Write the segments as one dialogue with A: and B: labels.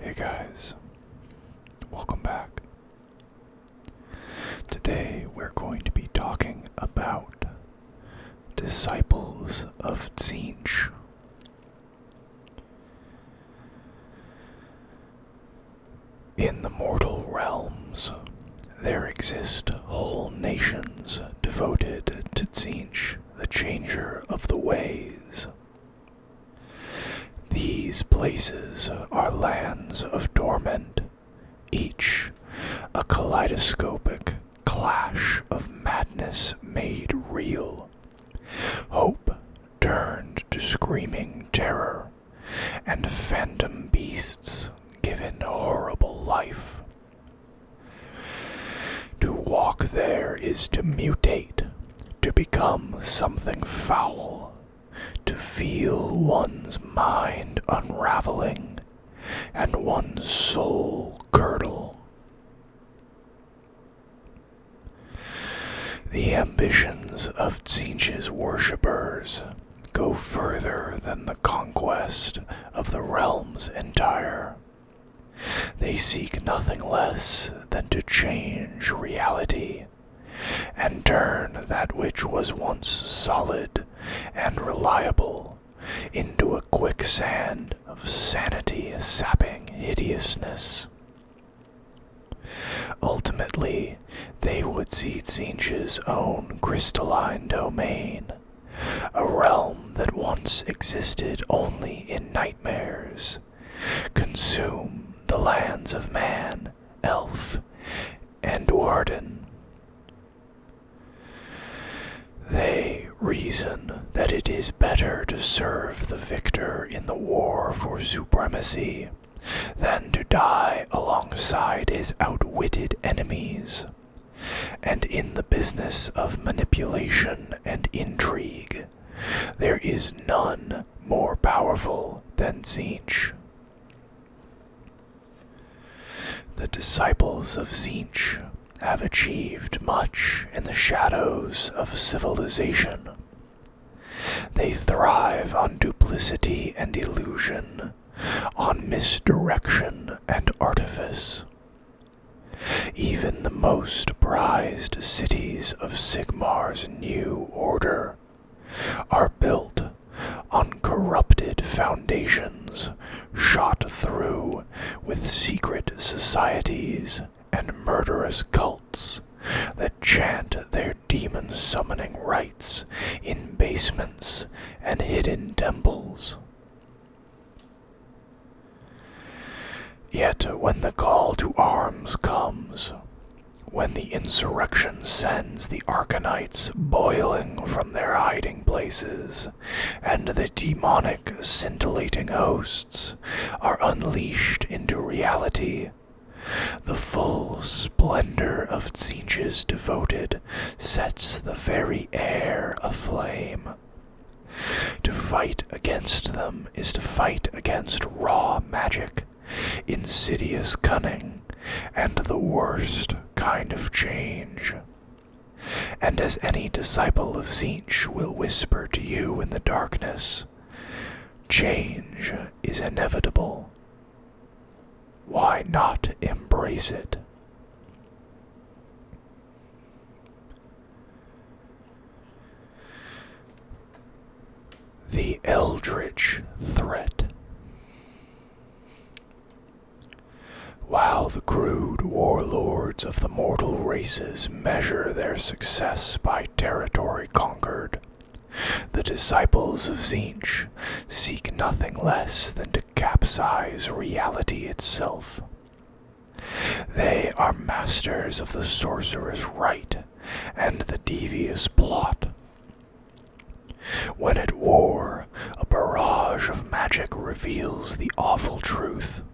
A: Hey guys, welcome back. Today we're going to be talking about disciples of Tzinch. In the mortal realms, there exist whole nations devoted to Tzinch the Changer of the Ways. These places are lands of dormant, each a kaleidoscopic clash of madness made real. Hope turned to screaming terror, and phantom beasts given horrible life. To walk there is to mutate, to become something foul, to feel one's mind unraveling and one's soul girdle. The ambitions of Tsinch's worshippers go further than the conquest of the realms entire. They seek nothing less than to change reality and turn that which was once solid and reliable into a quicksand of sanity sapping hideousness. Ultimately, they would see Tsinch's own crystalline domain a realm that once existed only in nightmares. Consume the lands of man, elf, and warden. They reason that it is better to serve the victor in the war for supremacy than to die alongside his outwitted enemies and in the business of manipulation and intrigue, there is none more powerful than Zinch. The disciples of Zinch have achieved much in the shadows of civilization. They thrive on duplicity and illusion, on misdirection and artifice. Even the most prized cities of Sigmar's new order are built on corrupted foundations shot through with secret societies and murderous cults that chant their demon summoning rites in basements and hidden temples. Yet when the call to arms comes, when the insurrection sends the Arcanites boiling from their hiding places, and the demonic scintillating hosts are unleashed into reality, the full splendor of Tzeentch's devoted sets the very air aflame, to fight against them is to fight against raw magic, insidious cunning, and the worst kind of change. And as any disciple of Zinch will whisper to you in the darkness, change is inevitable. Why not embrace it? The Eldritch Threat. While the crude warlords of the mortal races measure their success by territory conquered, the disciples of Zinj seek nothing less than to capsize reality itself they are masters of the sorcerer's rite and the devious plot. When at war, a barrage of magic reveals the awful truth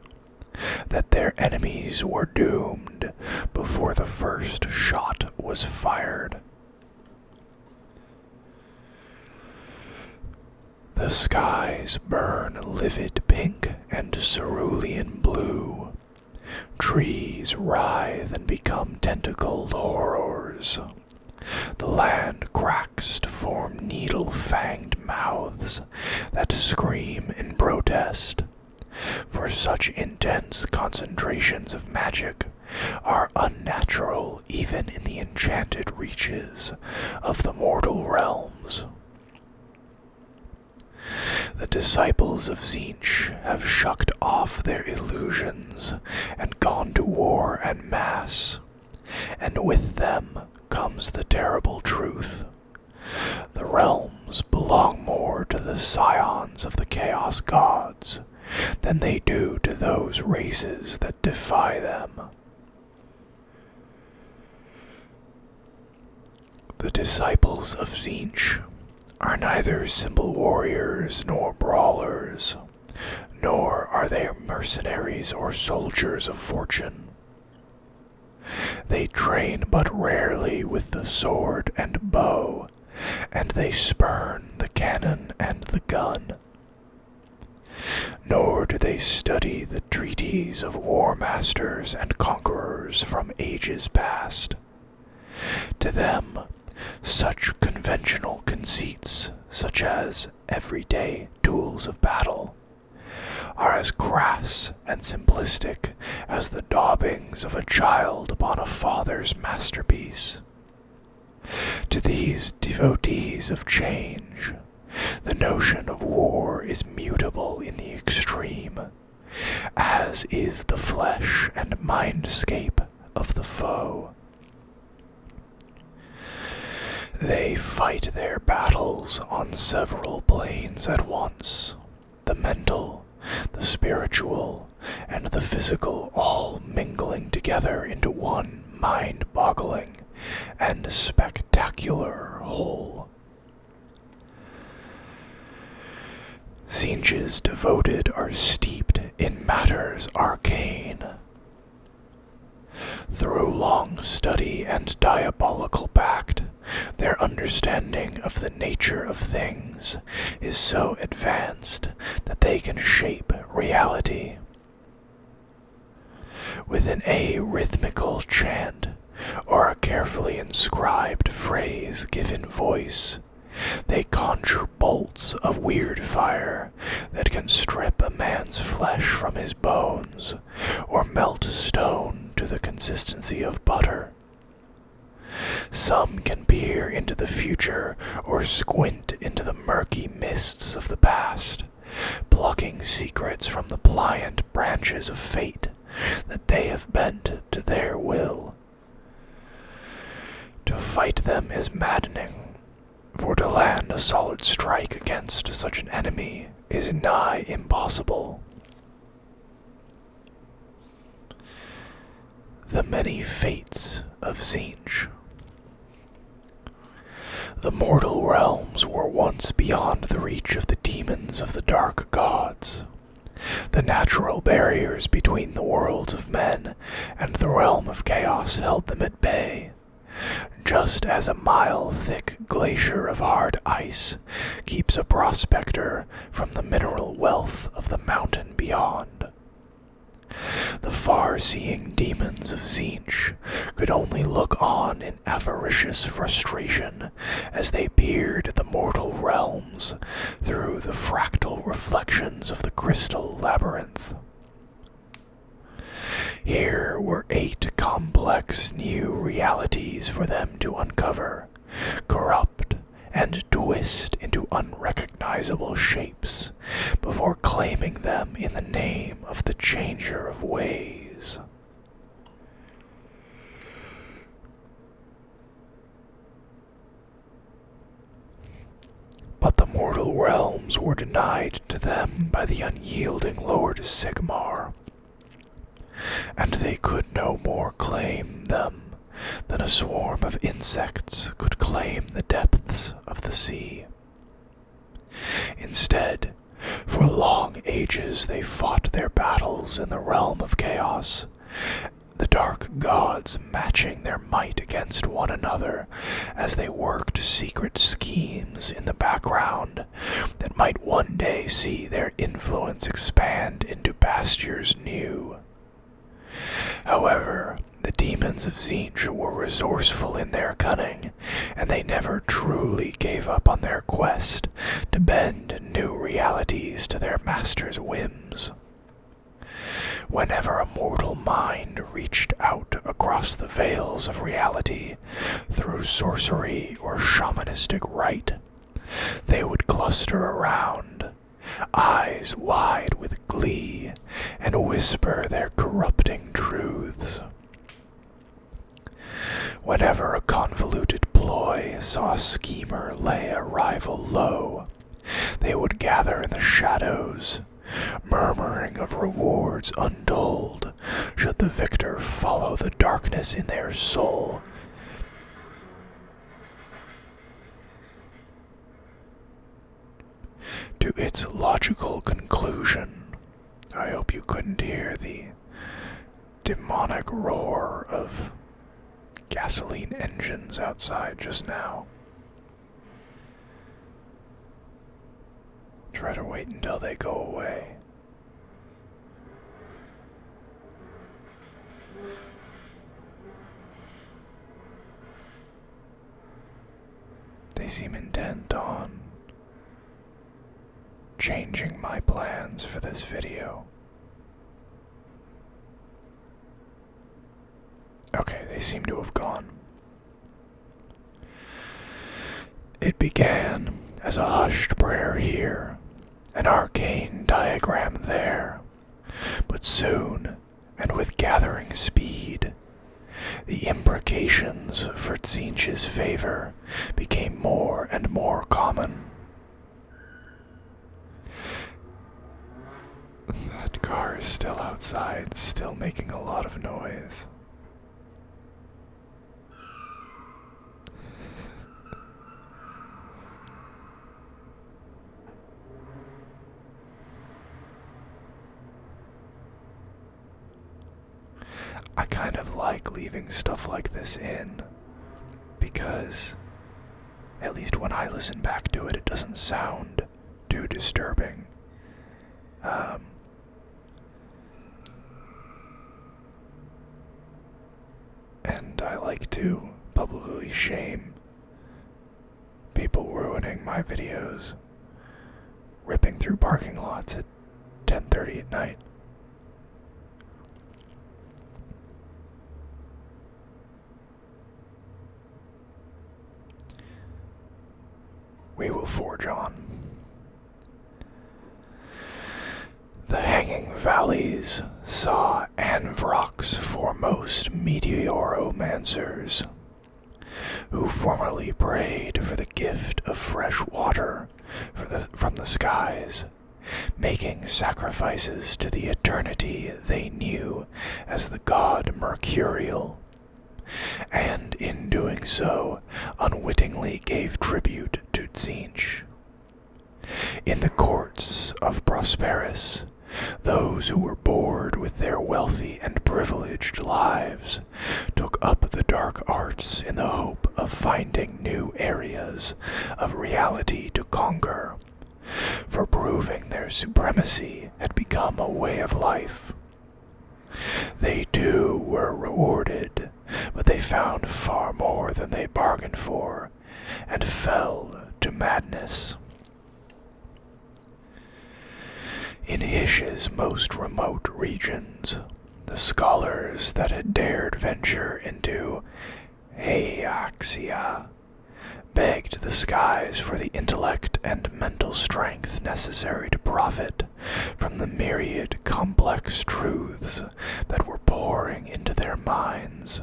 A: that their enemies were doomed before the first shot was fired. The skies burn livid pink and cerulean blue. Trees writhe and become tentacled horrors. The land cracks to form needle fanged mouths that scream in protest. For such intense concentrations of magic are unnatural even in the enchanted reaches of the mortal realms. The disciples of Zinch have shucked off their illusions and gone to war and mass, and with them comes the terrible truth. The realms belong more to the scions of the Chaos Gods than they do to those races that defy them. The disciples of Zinj are neither simple warriors nor brawlers, nor are they mercenaries or soldiers of fortune. They train but rarely with the sword and bow, and they spurn the cannon and the gun. Nor do they study the treaties of war masters and conquerors from ages past. To them, such conventional conceits, such as everyday duels of battle, are as crass and simplistic as the daubings of a child upon a father's masterpiece. To these devotees of change, the notion of war is mutable in the extreme, as is the flesh and mindscape of the foe. They fight their battles on several planes at once the mental, the spiritual, and the physical all mingling together into one mind boggling and spectacular whole. Zinches devoted are steeped in matters arcane. Through long study and diabolical pact, their understanding of the nature of things is so advanced that they can shape reality. With an arrhythmical chant or a carefully inscribed phrase given voice, they conjure bolts of weird fire that can strip a man's flesh from his bones or melt stone to the consistency of butter. Some can peer into the future or squint into the murky mists of the past plucking secrets from the pliant branches of fate that they have bent to their will. To fight them is maddening, for to land a solid strike against such an enemy is nigh impossible. The many fates of Zinj. The mortal realms were once beyond the reach of the demons of the dark gods. The natural barriers between the worlds of men and the realm of chaos held them at bay, just as a mile thick glacier of hard ice keeps a prospector from the mineral wealth of the mountain beyond. The far seeing demons of Zinch could only look on in avaricious frustration as they peered at the mortal realms through the fractal reflections of the crystal labyrinth. Here were eight complex new realities for them to uncover, corrupt, and twist into unrecognizable shapes before claiming them in the name of the changer of ways. But the mortal realms were denied to them by the unyielding Lord Sigmar, and they could no more claim them than a swarm of insects could claim the depths of the sea. Instead, for long ages they fought their battles in the realm of chaos, the dark gods matching their might against one another as they worked secret schemes in the background that might one day see their influence expand into pastures new. However, the demons of Zinj were resourceful in their cunning, and they never truly gave up on their quest to bend new realities to their master's whims. Whenever a mortal mind reached out across the veils of reality through sorcery or shamanistic rite, they would cluster around, eyes wide with glee and whisper their corrupting truths. Whenever a convoluted ploy saw schemer lay a rival low, they would gather in the shadows, murmuring of rewards untold, should the victor follow the darkness in their soul to its logical conclusion. I hope you couldn't hear the demonic roar of gasoline engines outside just now. Try to wait until they go away. They seem intent on changing my plans for this video. Okay, they seem to have gone. It began as a hushed prayer here, an arcane diagram there, but soon, and with gathering speed, the imprecations for Tzinch's favor became more and more common. That car is still outside, still making a lot of noise. I kind of like leaving stuff like this in because, at least when I listen back to it, it doesn't sound too disturbing. Um, and I like to publicly shame People ruining my videos, ripping through parking lots at 10:30 at night. We will forge on. The hanging valleys saw Anvroc's foremost meteoromancers who formerly prayed for the gift of fresh water from the skies, making sacrifices to the eternity they knew as the god Mercurial, and in doing so unwittingly gave tribute to Tzinch. In the courts of Prosperus, those who were bored with their wealthy and privileged lives took up the dark arts in the hope of finding new areas of reality to conquer, for proving their supremacy had become a way of life. They too were rewarded, but they found far more than they bargained for and fell to madness. In Hish's most remote regions, the scholars that had dared venture into Hayaxia begged the skies for the intellect and mental strength necessary to profit from the myriad complex truths that were pouring into their minds.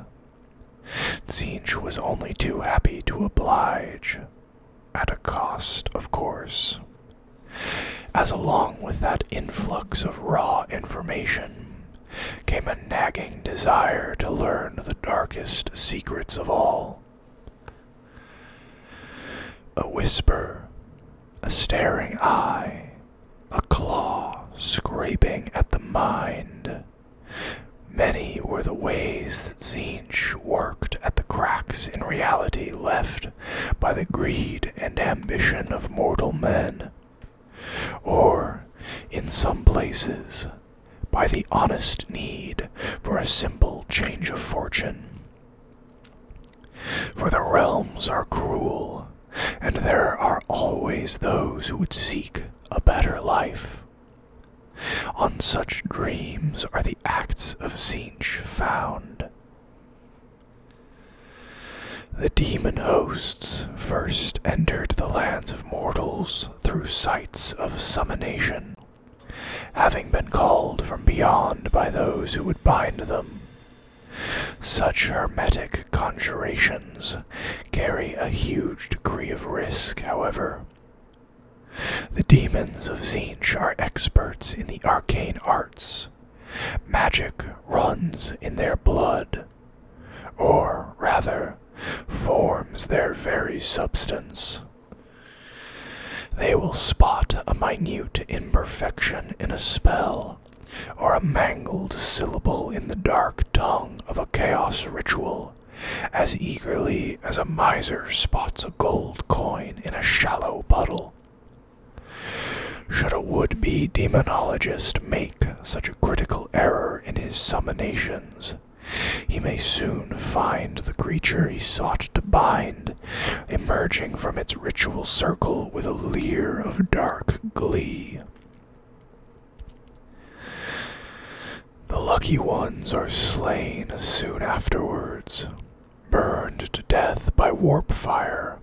A: Zinj was only too happy to oblige. At a cost, of course. As along with that influx of raw information came a nagging desire to learn the darkest secrets of all. A whisper, a staring eye, a claw scraping at the mind. Many were the ways illicit scenes worked at the cracks in reality left by the greed and ambition of mortal men, or, in some places, by the honest need for a simple change of fortune. For the realms are cruel, and there are always those who would seek a better life, on such dreams are the acts of Zinj found. The demon hosts first entered the lands of mortals through sites of summonation, having been called from beyond by those who would bind them. Such hermetic conjurations carry a huge degree of risk, however, the demons of Zinj are experts in the arcane arts. Magic runs in their blood, or rather, forms their very substance. They will spot a minute imperfection in a spell, or a mangled syllable in the dark tongue of a chaos ritual as eagerly as a miser spots a gold coin in a shallow puddle. Should a would be demonologist make such a critical error in his summonations, he may soon find the creature he sought to bind emerging from its ritual circle with a leer of dark glee. The lucky ones are slain soon afterwards, burned to death by warp fire,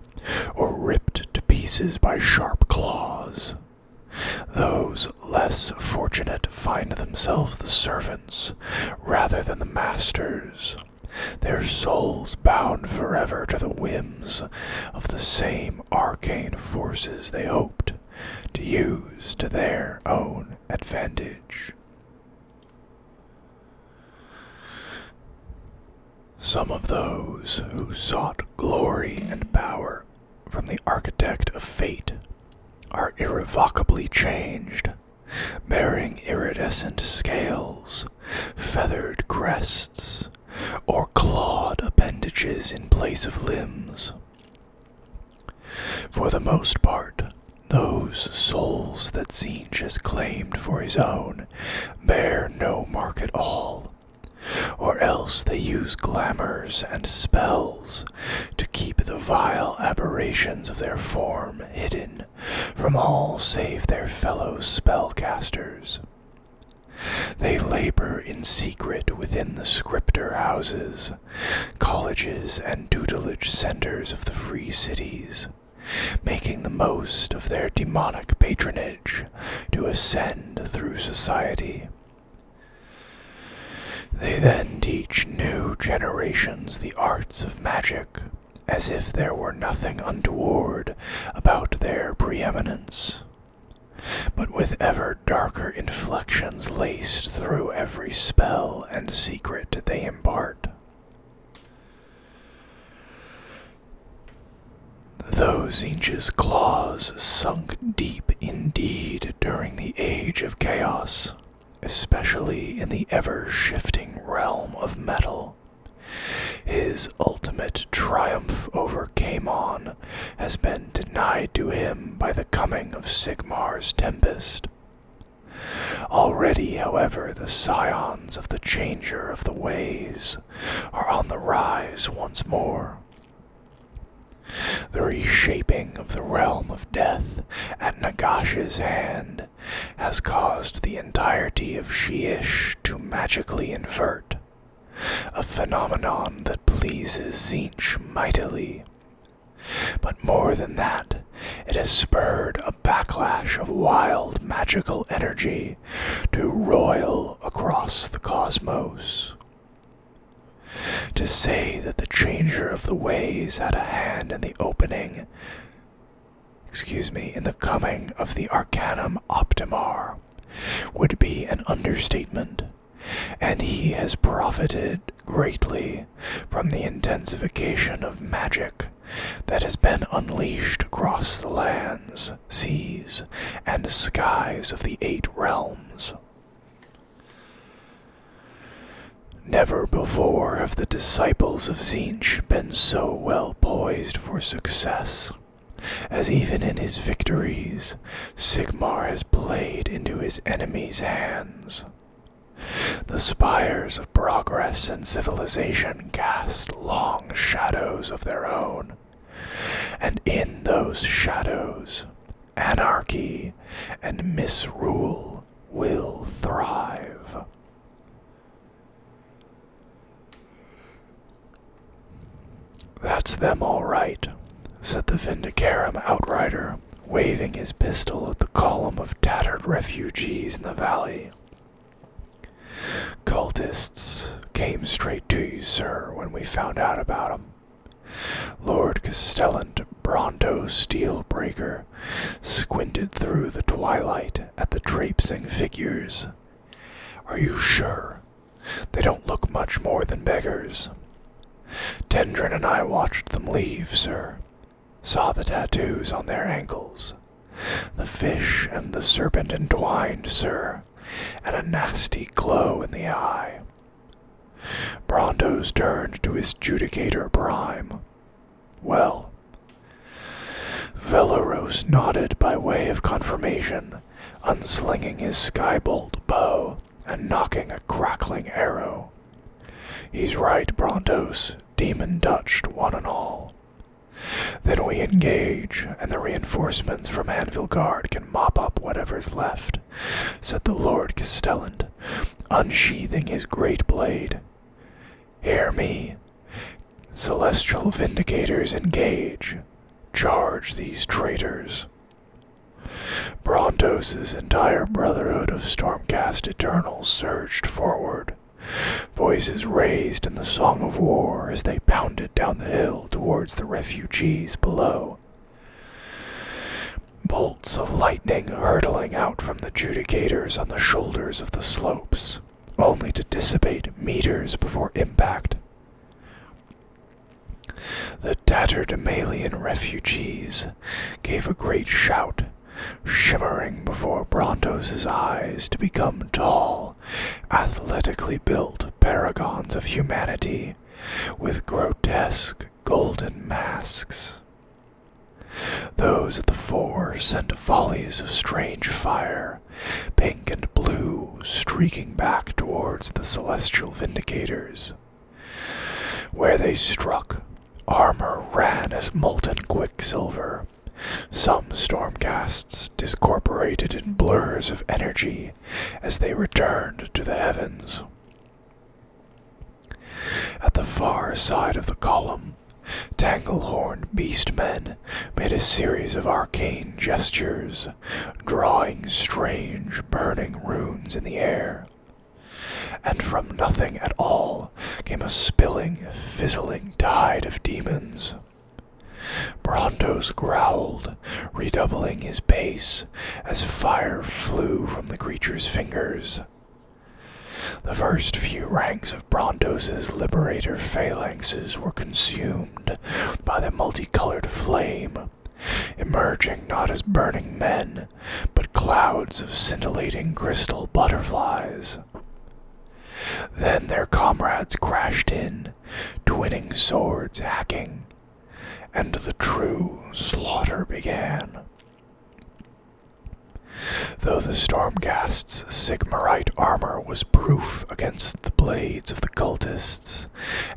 A: or ripped to pieces by sharp claws. Those less fortunate find themselves the servants rather than the masters, their souls bound forever to the whims of the same arcane forces they hoped to use to their own advantage. Some of those who sought glory and power from the architect of fate are irrevocably changed, bearing iridescent scales, feathered crests, or clawed appendages in place of limbs. For the most part, those souls that Zinj has claimed for his own bear no mark at all, or else they use glamours and spells to keep the vile aberrations of their form hidden from all save their fellow spellcasters. They labor in secret within the scripter houses, colleges, and tutelage centers of the free cities, making the most of their demonic patronage to ascend through society. They then teach new generations the arts of magic, as if there were nothing untoward about their preeminence, but with ever darker inflections laced through every spell and secret they impart. Those Zinch's claws sunk deep indeed during the age of chaos, especially in the ever shifting realm of metal, his ultimate triumph over Kamon has been denied to him by the coming of Sigmar's Tempest. Already, however, the scions of the changer of the ways are on the rise once more. The reshaping of the realm of death at Nagash's hand has caused the entirety of Shiish to magically invert, a phenomenon that pleases Zinch mightily but more than that, it has spurred a backlash of wild magical energy to roil across the cosmos. To say that the changer of the ways had a hand in the opening, excuse me, in the coming of the Arcanum Optimar would be an understatement, and he has profited greatly from the intensification of magic that has been unleashed across the lands, seas, and skies of the eight realms. Never before have the disciples of Zinch been so well poised for success, as even in his victories, Sigmar has played into his enemies' hands, the spires of progress and civilization cast long shadows of their own, and in those shadows, anarchy and misrule will thrive. That's them all right, said the Vindicarum outrider waving his pistol at the column of tattered refugees in the valley. Cultists came straight to you, sir, when we found out about 'em. Lord Castellant Bronto Steelbreaker squinted through the twilight at the traipsing figures. Are you sure? They don't look much more than beggars. Tendren and I watched them leave, sir saw the tattoos on their ankles. The fish and the serpent entwined, sir, and a nasty glow in the eye. Brontos turned to his judicator prime. Well, Velaros nodded by way of confirmation, unslinging his skybolt bow and knocking a crackling arrow. He's right, Brontos, demon touched one and all. Then we engage, and the reinforcements from Anvil Guard can mop up whatever's left, said the Lord Castellant, unsheathing his great blade. Hear me. Celestial Vindicators engage. Charge these traitors. Brontos's entire brotherhood of Stormcast Eternals surged forward, voices raised in the song of war as they pounded down the hill towards the refugees below. Bolts of lightning hurtling out from the judicators on the shoulders of the slopes, only to dissipate meters before impact. The tatterdemalion refugees gave a great shout, shimmering before Bronto's eyes to become tall, athletically built paragons of humanity with grotesque golden masks. Those of the four sent volleys of strange fire, pink and blue, streaking back towards the celestial vindicators. Where they struck, Armor ran as molten quicksilver. Some stormcasts discorporated in blurs of energy as they returned to the heavens. At the far side of the column, Tanglehorn beastmen made a series of arcane gestures, drawing strange burning runes in the air. And from nothing at all came a spilling, fizzling tide of demons. Brontos growled, redoubling his pace as fire flew from the creature's fingers. The first few ranks of Bronto's liberator phalanxes were consumed by the multicolored flame, emerging not as burning men, but clouds of scintillating crystal butterflies. Then their comrades crashed in, twinning swords hacking, and the true slaughter began. Though the Stormgast's Sigmarite armor was proof against the blades of the cultists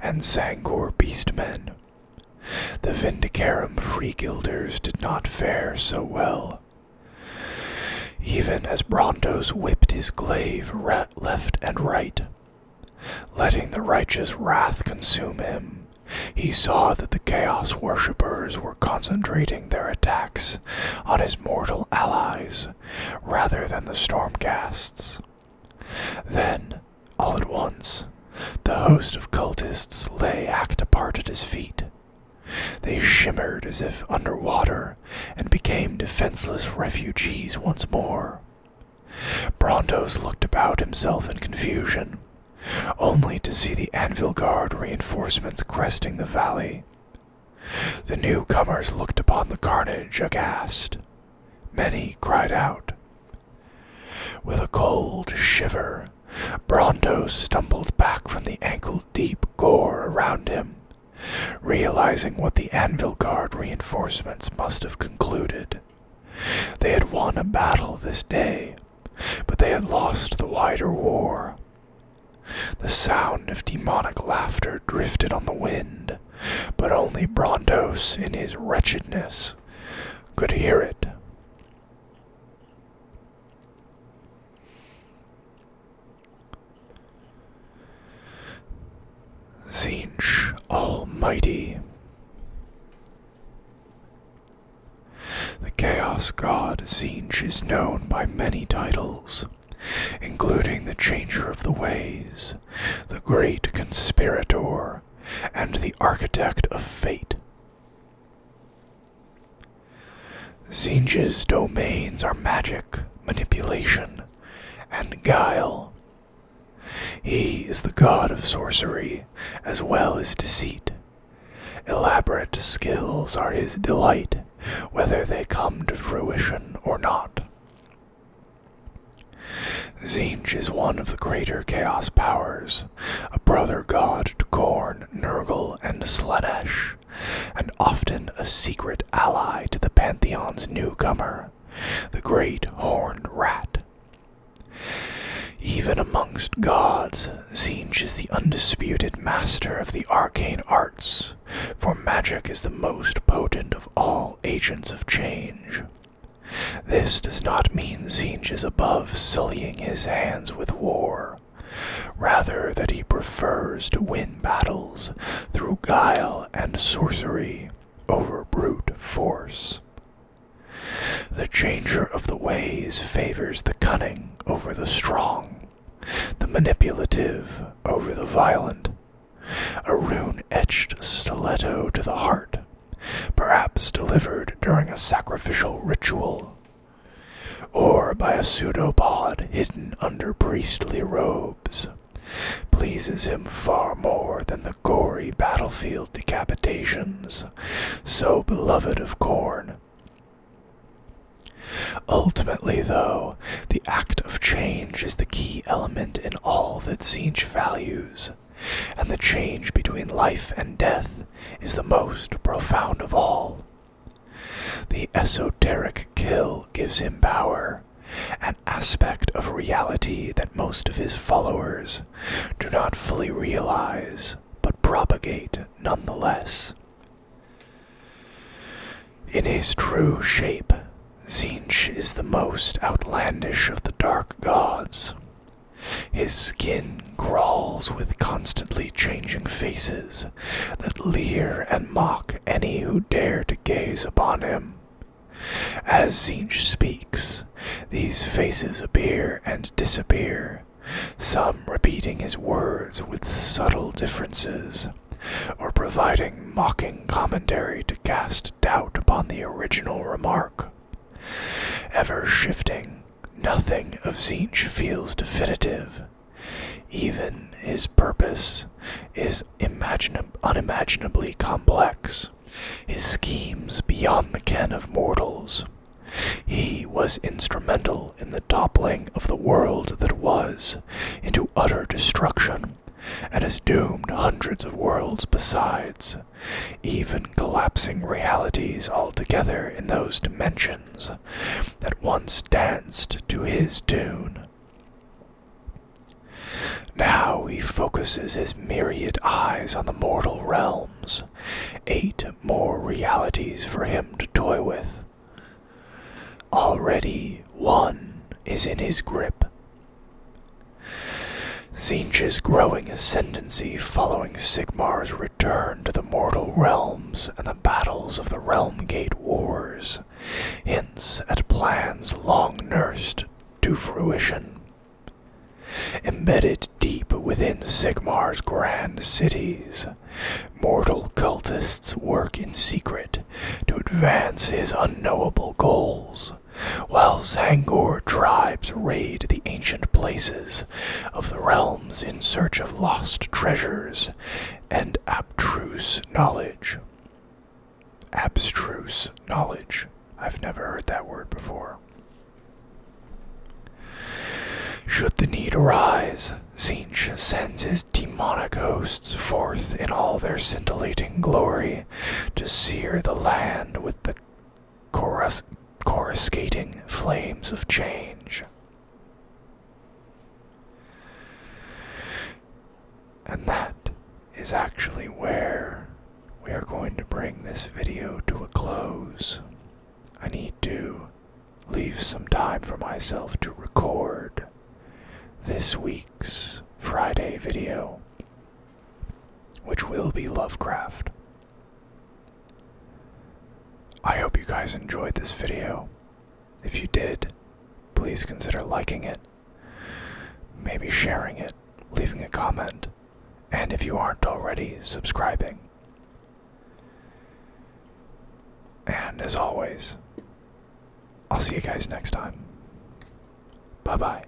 A: and Sangor beastmen, the Vindicarum Freegilders did not fare so well. Even as Brontos whipped his glaive rat left and right, letting the righteous wrath consume him, he saw that the Chaos worshippers were concentrating their attacks on his mortal allies rather than the Stormcasts. Then, all at once, the host of cultists lay hacked apart at his feet. They shimmered as if under water and became defenseless refugees once more. Brondos looked about himself in confusion, only to see the anvil guard reinforcements cresting the valley. The newcomers looked upon the carnage aghast. Many cried out. With a cold shiver, Brando stumbled back from the ankle deep gore around him, realizing what the Anvil Guard reinforcements must have concluded. They had won a battle this day, but they had lost the wider war. The sound of demonic laughter drifted on the wind, but only Brontos in his wretchedness could hear it. Zinch Almighty. The Chaos God Zinch is known by many titles, including the Changer of the Ways, the Great Conspirator, and the Architect of Fate. Zinj's domains are magic, manipulation, and guile. He is the god of sorcery as well as deceit. Elaborate skills are his delight, whether they come to fruition or not. Zinj is one of the greater Chaos powers, a brother god to Korn, Nurgle, and Slanesh, and often a secret ally to the Pantheon's newcomer, the Great Horned Rat. Even amongst gods, Zinj is the undisputed master of the arcane arts, for magic is the most potent of all agents of change. This does not mean Zinj is above sullying his hands with war, rather that he prefers to win battles through guile and sorcery over brute force. The changer of the ways favors the cunning over the strong, the manipulative over the violent, a rune etched stiletto to the heart perhaps delivered during a sacrificial ritual, or by a pseudopod hidden under priestly robes, pleases him far more than the gory battlefield decapitations, so beloved of corn. Ultimately, though, the act of change is the key element in all that Siege values, and the change between life and death is the most profound of all. The esoteric kill gives him power, an aspect of reality that most of his followers do not fully realize but propagate nonetheless. In his true shape, Zinch is the most outlandish of the dark gods, his skin crawls with constantly changing faces that leer and mock any who dare to gaze upon him. As Zinj speaks, these faces appear and disappear, some repeating his words with subtle differences, or providing mocking commentary to cast doubt upon the original remark. Ever shifting, nothing of Zinj feels definitive. Even his purpose is unimaginably complex, his schemes beyond the ken of mortals. He was instrumental in the toppling of the world that was into utter destruction, and has doomed hundreds of worlds besides even collapsing realities altogether in those dimensions that once danced to his tune. Now he focuses his myriad eyes on the mortal realms, eight more realities for him to toy with. Already one is in his grip, Zinch's growing ascendancy following Sigmar's return to the mortal realms and the battles of the Realmgate Wars hints at plans long nursed to fruition. Embedded deep within Sigmar's grand cities, mortal cultists work in secret to advance his unknowable goals. While Zangor tribes raid the ancient places of the realms in search of lost treasures and abstruse knowledge. Abstruse knowledge. I've never heard that word before. Should the need arise, Zinch sends his demonic hosts forth in all their scintillating glory to sear the land with the coruscating flames of change. And that is actually where we are going to bring this video to a close. I need to leave some time for myself to record this week's Friday video which will be Lovecraft. I hope you guys enjoyed this video. If you did, please consider liking it, maybe sharing it, leaving a comment, and if you aren't already, subscribing. And as always, I'll see you guys next time. Bye bye.